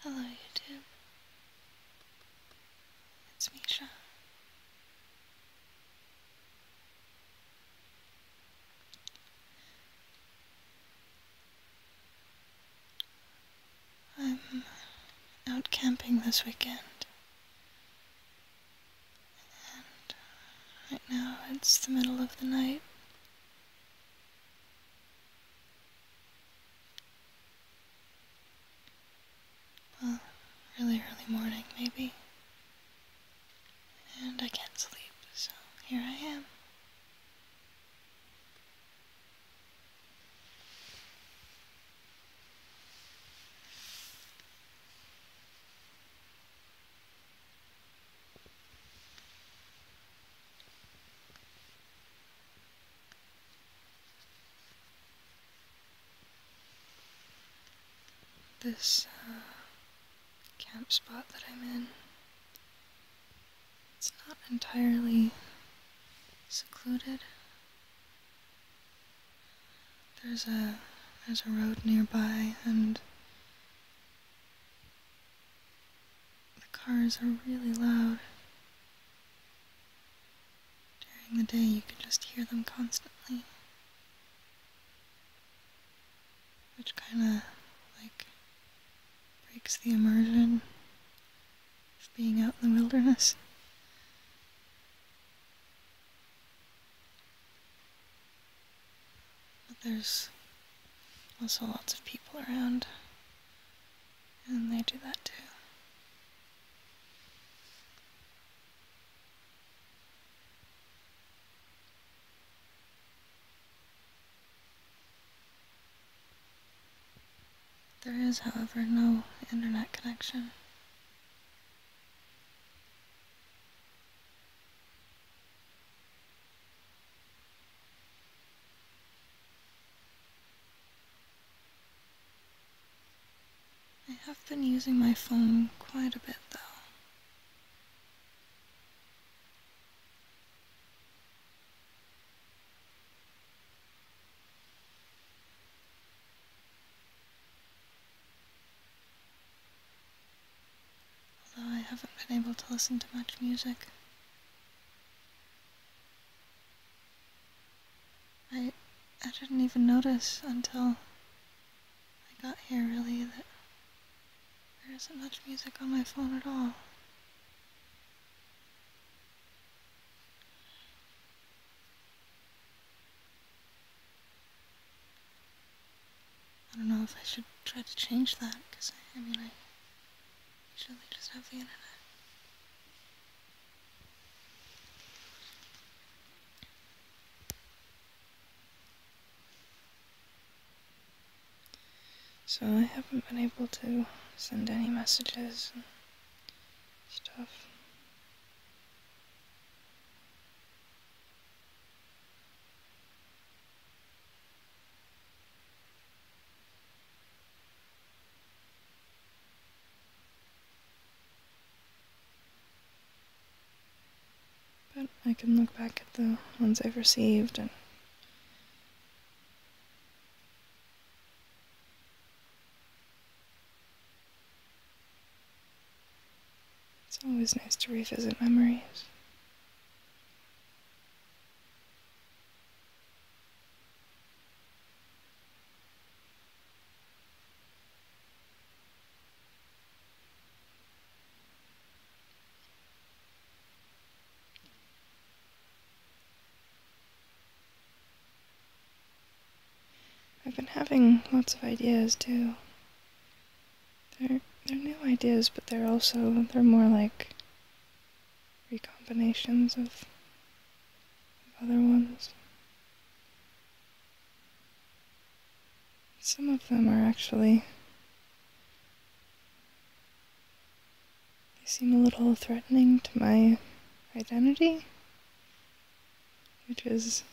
Hello, YouTube. It's Misha. I'm out camping this weekend. And right now it's the middle of the night. Well, really early morning, maybe. And I can't sleep, so here I am. This uh, camp spot that I'm in, it's not entirely secluded. There's a there's a road nearby and the cars are really loud. During the day, you can just hear them constantly. Which kinda, like, breaks the immersion of being out in the wilderness. But there's also lots of people around, and they do that too. There is, however, no internet connection. I have been using my phone quite a bit though although I haven't been able to listen to much music. I, I didn't even notice until I got here, really, that there isn't much music on my phone at all. I don't know if I should try to change that, because I, mean, I usually just have the internet. So I haven't been able to send any messages and stuff. But I can look back at the ones I've received and it's always nice to revisit memories. I've been having lots of ideas too. They're they're new ideas, but they're also they're more like recombinations of, of other ones. Some of them are actually they seem a little threatening to my identity, which is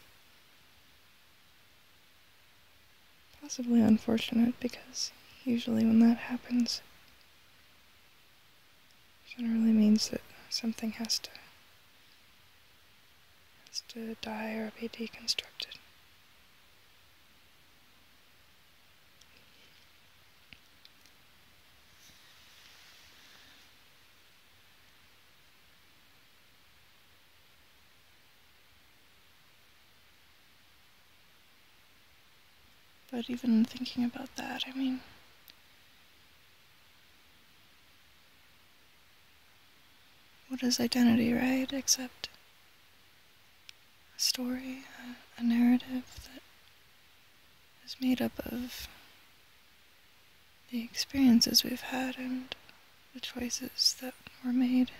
Possibly unfortunate because usually when that happens, generally means that something has to has to die or be deconstructed. But even thinking about that, I mean, what is identity, right? Except a story, a, narrative that is made up of the experiences we've had and the choices that were made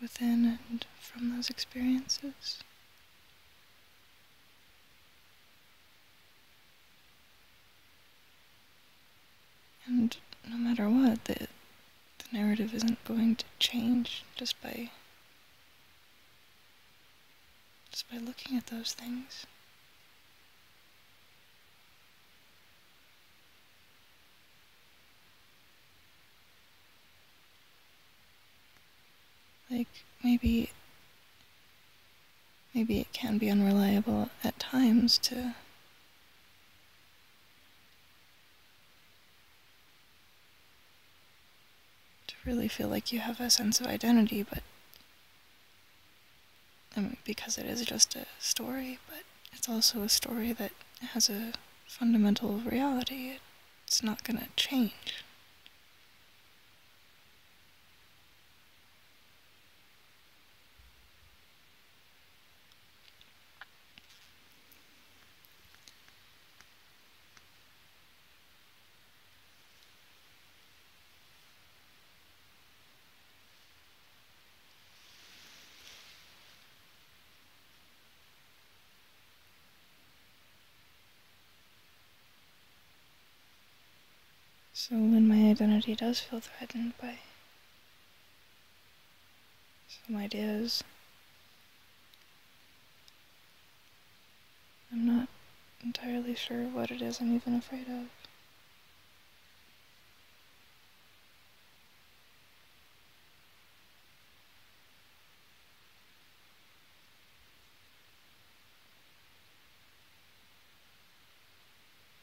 within and from those experiences. And no matter what, the, narrative isn't going to change just by just by looking at those things. Like, maybe. Maybe it can be unreliable at times to. to really feel like you have a sense of identity, but because it is just a story, but it's also a story that has a fundamental reality. It's not going to change. So when my identity does feel threatened by some ideas, I'm not entirely sure what it is I'm even afraid of.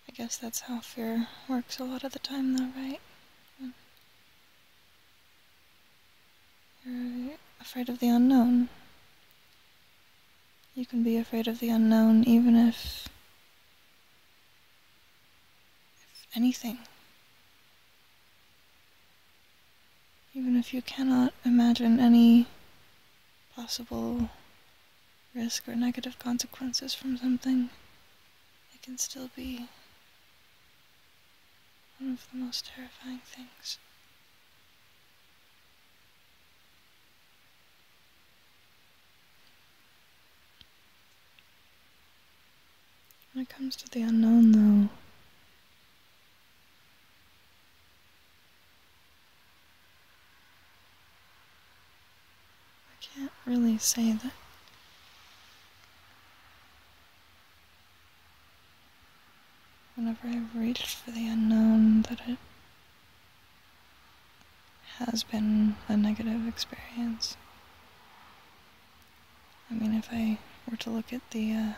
I guess that's how fear works a lot of the time, though, right? you're afraid of the unknown. You can be afraid of the unknown even if. if anything. Even if you cannot imagine any possible risk or negative consequences from something, it can still be one of the most terrifying things. When it comes to the unknown, though, I can't really say that. Whenever i reach for the unknown, that it has been a negative experience. I mean, if I were to look at the, uh,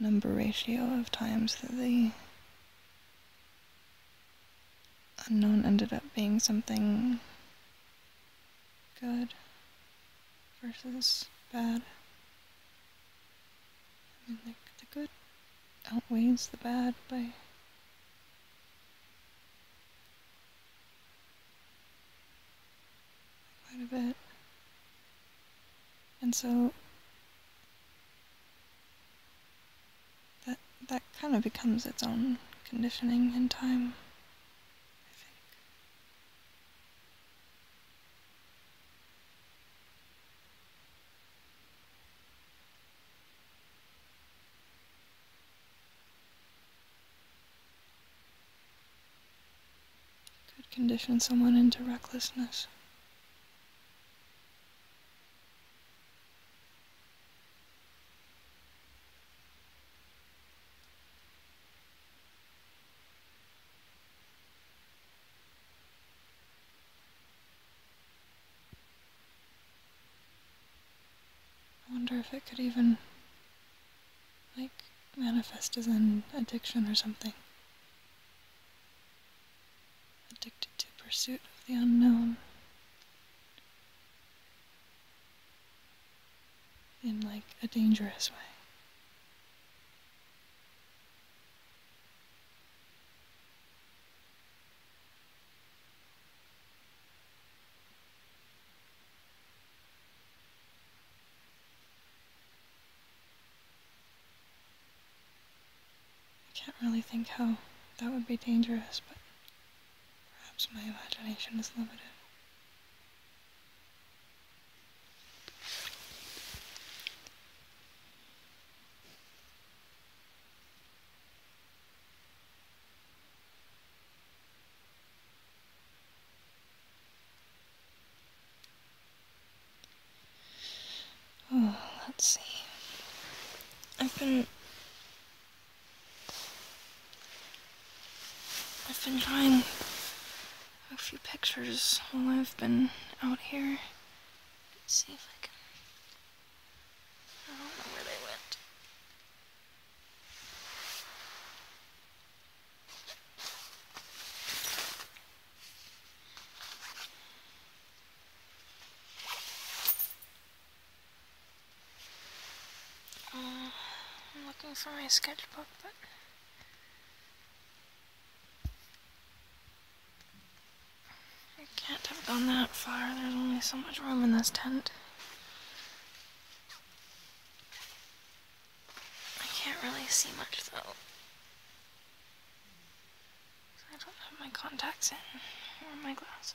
number ratio of times that the unknown ended up being something good versus bad. I mean, like, the good outweighs the bad by quite a bit. And so that that kind of becomes its own conditioning in time, I think. Could condition someone into recklessness. I wonder if it could even, like, manifest as an addiction or something. Addicted to pursuit of the unknown in like a dangerous way. I can't really think how that would be dangerous, but Perhaps my imagination is limited. Oh, let's see. I've been I've been trying a few pictures while I've been out here. see if I can. I don't know where they went. Uh, I'm looking for my sketchbook, but... I can't have gone that far. There's only so much room in this tent. I can't really see much, though. I don't have my contacts in, or my glasses.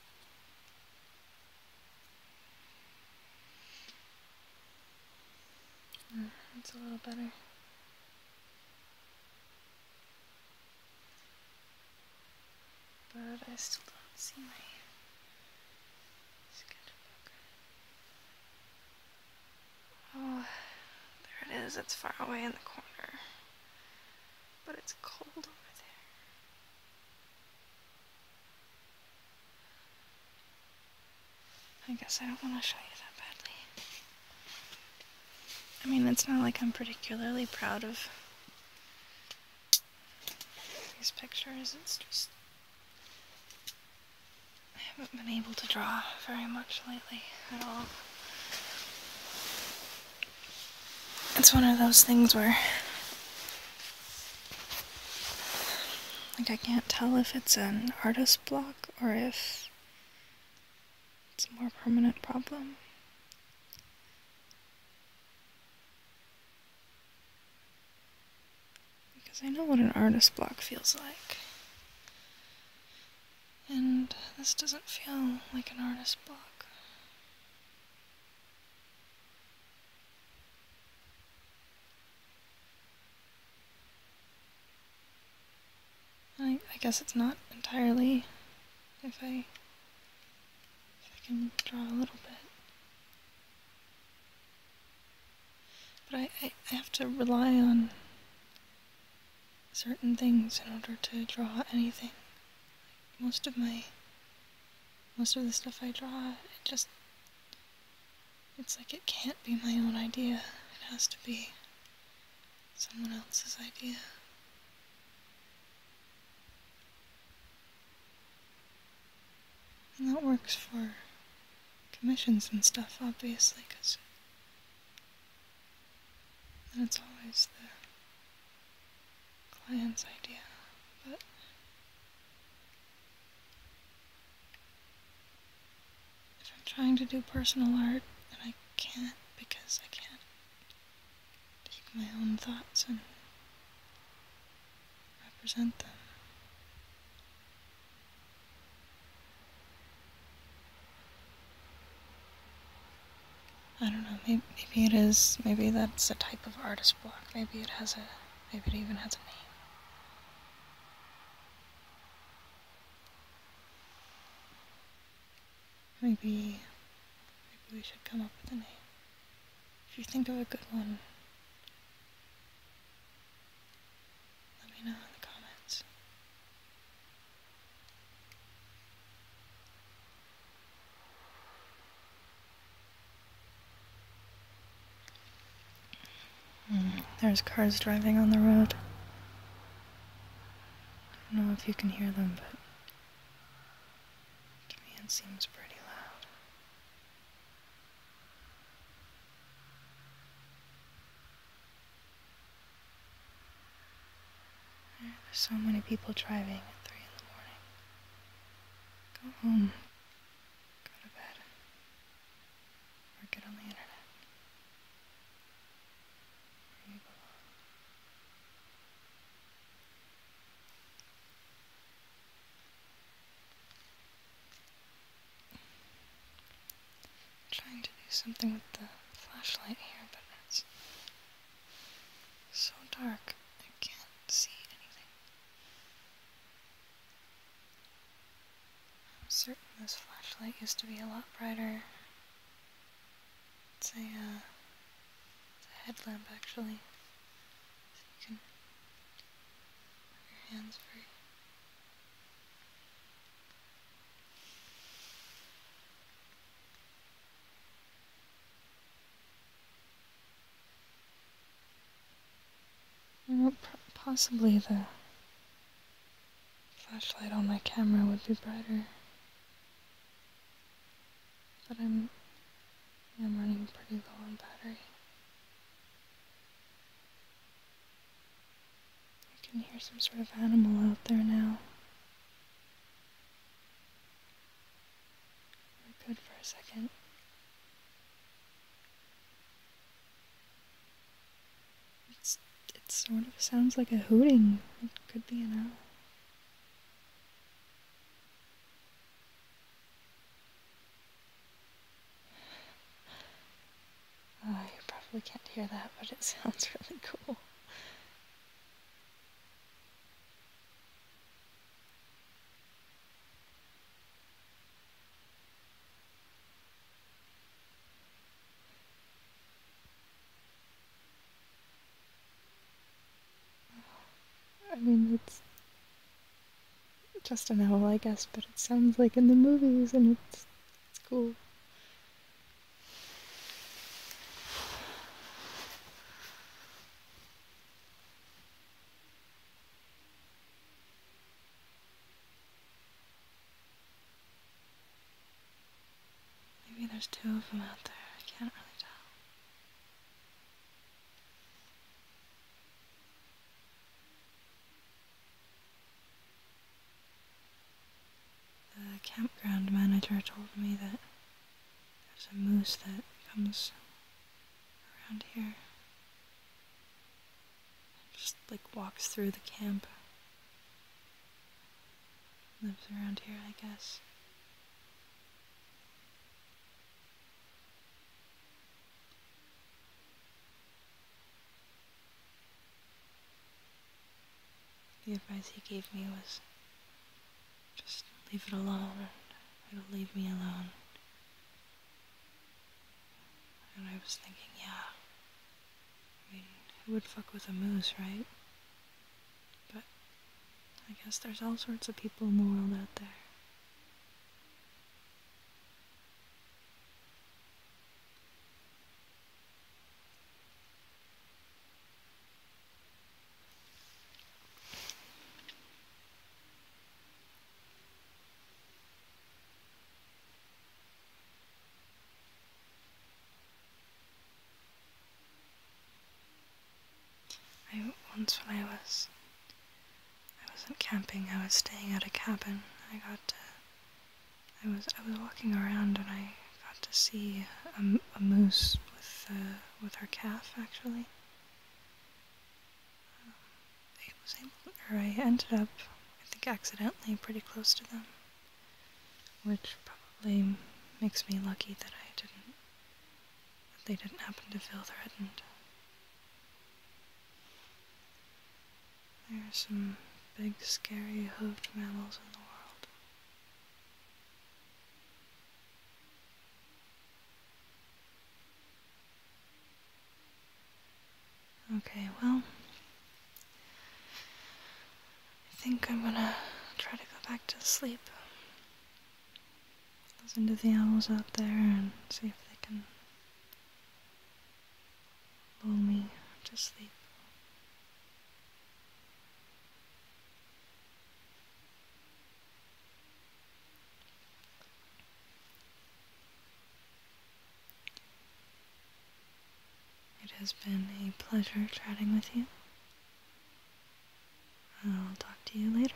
Mm, that's a little better. But I still don't see my sketchbook. Oh, there it is. It's far away in the corner. But it's cold over there. I guess I don't want to show you that badly. I mean, it's not like I'm particularly proud of these pictures. It's just. I haven't been able to draw very much lately at all it's one of those things where like I can't tell if it's an artist block or if it's a more permanent problem. Because I know what an artist block feels like. And this doesn't feel like an artist block. I, I guess it's not entirely if I if I can draw a little bit. But I, I, I have to rely on certain things in order to draw anything. most of my, most of the stuff I draw, it just, it's like it can't be my own idea. It has to be someone else's idea. And that works for commissions and stuff, obviously, because and it's always the client's idea, but if I'm trying to do personal art and I can't because I can't take my own thoughts and represent them. I don't know, maybe, it is, maybe that's a type of artist block. Maybe it has a, maybe it even has a name. Maybe, maybe we should come up with a name. If you think of a good one, let me know in the comments. Hmm, there's cars driving on the road. I don't know if you can hear them, but it seems pretty loud. There's so many people driving at 3 in the morning. Go home. Go to bed. Or get on the internet. Where you belong trying to do something with the flashlight here, but it's so dark I can't see anything. I'm certain this flashlight used to be a lot brighter. It's a, uh, headlamp actually. So you can have your hands free. Possibly the flashlight on my camera would be brighter. But I'm, I'm running pretty low on battery. I can hear some sort of animal out there now. We're good for a second. It's, it sort of sounds like a hooting. It could be an owl. Oh, you probably can't hear that, but it sounds really cool. I mean, it's just an owl, I guess, but it sounds like in the movies, and it's cool. Maybe there's two of them out there. I can't really tell. The campground manager told me that there's a moose that comes around here. Just like walks through the camp. Lives around here, I guess. The advice he gave me was just leave it alone. It'll leave me alone. And I was thinking, yeah. I mean, who would fuck with a moose, right? But I guess there's all sorts of people in the world out there. I once when I was I wasn't camping, I was staying at a cabin. I got uh, I was I was walking around and I got to see a, a moose with uh, with her calf actually. Um, I was able, or I ended up, I think, accidentally pretty close to them, which probably makes me lucky that I didn't that they didn't happen to feel threatened. There are some big, scary hoofed mammals in the world. Okay, well, I think I'm gonna try to go back to sleep. Listen to the owls out there and see if they can lull me to sleep. It has been a pleasure chatting with you. I'll talk to you later.